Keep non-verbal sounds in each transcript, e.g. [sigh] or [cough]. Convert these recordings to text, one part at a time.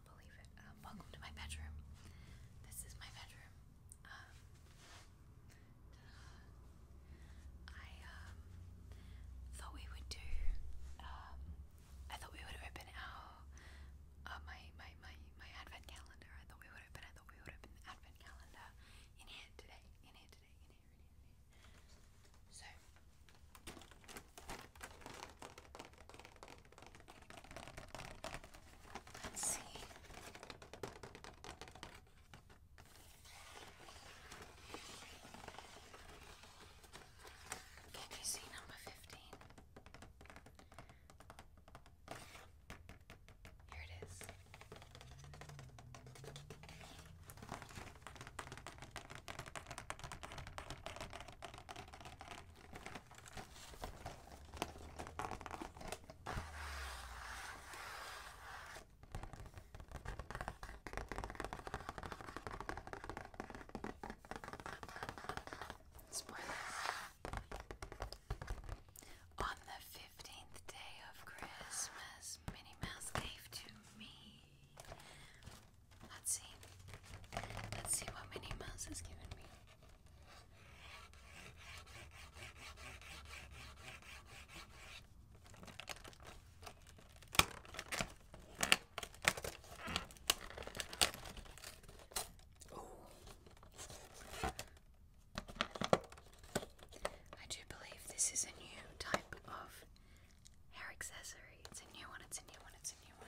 believe it. Um, welcome to my bedroom. This is my bedroom. Um, I um, thought we would do. I thought we would open our uh, my, my my my advent calendar. I thought we would open. I thought we would open the advent calendar in here today. In here today. In here. So Let's see. Can you see number fifteen? Here it is. On the 15th day of Christmas, Minnie Mouse gave to me Let's see. Let's see what Minnie Mouse has given me. Oh. I do believe this is a new type of hair accessory. It's a new one, it's a new one, it's a new one.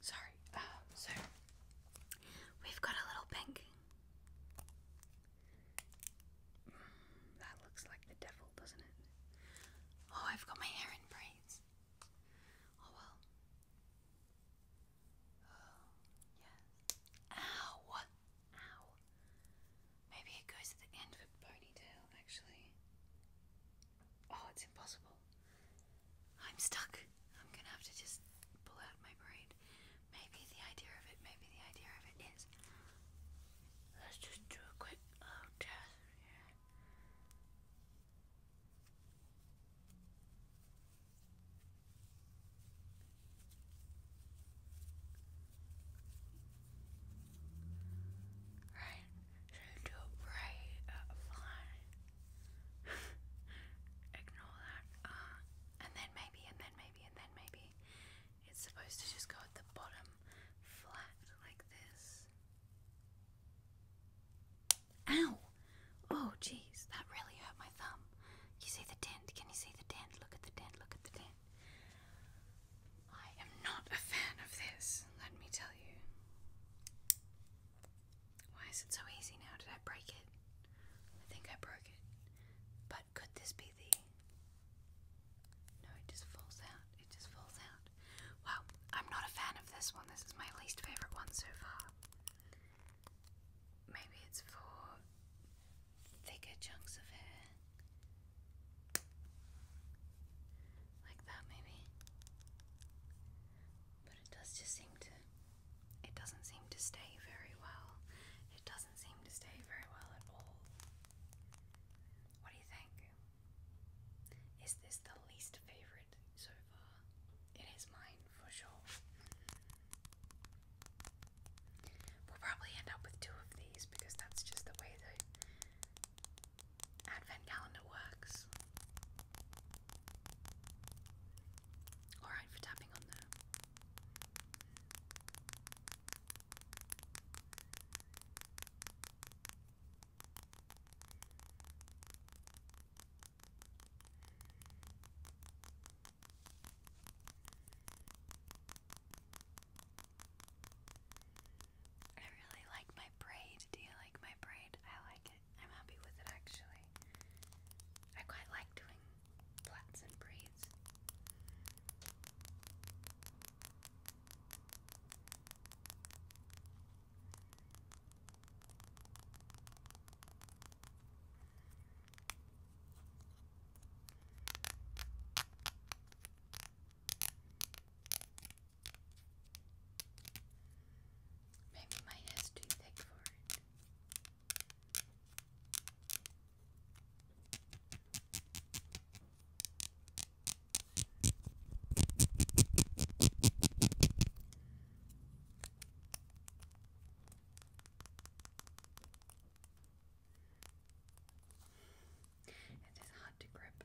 Sorry. Uh, we've got a little pink. that looks like the devil, doesn't it? Oh, I've got my hair in braids. Oh well. Oh, yes. Ow! Ow. Maybe it goes at the end of ponytail, actually. Oh, it's impossible. I'm stuck. I'm gonna have to just pull out my brain. Maybe the idea of it, maybe the idea of it is. Let's just do a quick uh, test Right? Should do a bright uh, fly. [laughs] Ignore that. Uh, and then maybe, and then maybe, and then maybe. It's supposed to just go at the bottom flat like this. Ow! Oh, geez, that really hurt my thumb. You see the dent? Can you see the dent? Look at the dent, look at the dent. I am not a fan of this, let me tell you. Why is it so easy now? Did I break it? I think I broke it. But could this be the. No, it just falls out. It just falls out. Wow, I'm not a fan of this one. This is my least favourite one so far. Maybe it's for thicker chunks of hair. Like that, maybe. But it does just seem to. It doesn't seem to stay very well. It doesn't seem to stay very well at all. What do you think? Is this the least favorite so far? It is mine for sure. We'll probably end up with two of these because that's just the way the advent calendar works. Alright for tapping on the I really like my braid. Do you like my braid? I like it. I'm happy with it actually. I quite like doing plaits and braids. Maybe my hair's too thick for it. It is hard to grip.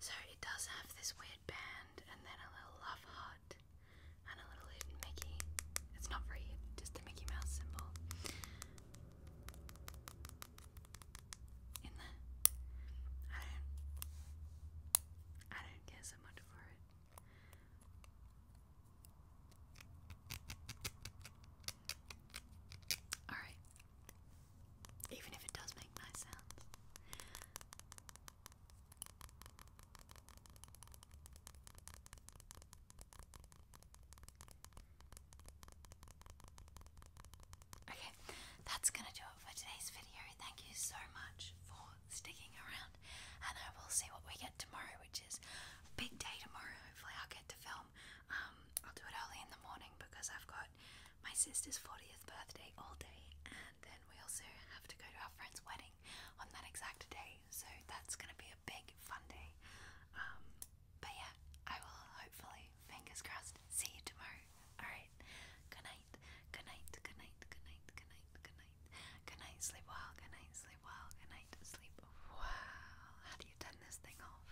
So it does have this weird band and then a little love heart and a little Mickey. It's not very just the Mickey Mouse symbol. In there. I don't I don't care so much for it. Alright. Even if it does make nice sounds. Okay, that's gonna do it for today's video. Thank you so much for sticking around, and I will see what we get tomorrow, which is a big day tomorrow. Hopefully, I'll get to film. Um, I'll do it early in the morning because I've got my sister's 40th birthday all day, and then we also have to go to our friend's wedding on that exact day, so that's gonna be a big fun day. Um, but yeah, I will hopefully, fingers crossed, see you tomorrow. Alright, good night, good night, good night, good night, good night, good night, good night, sleep well, good night, sleep well, good night, sleep well. How do you turn this thing off?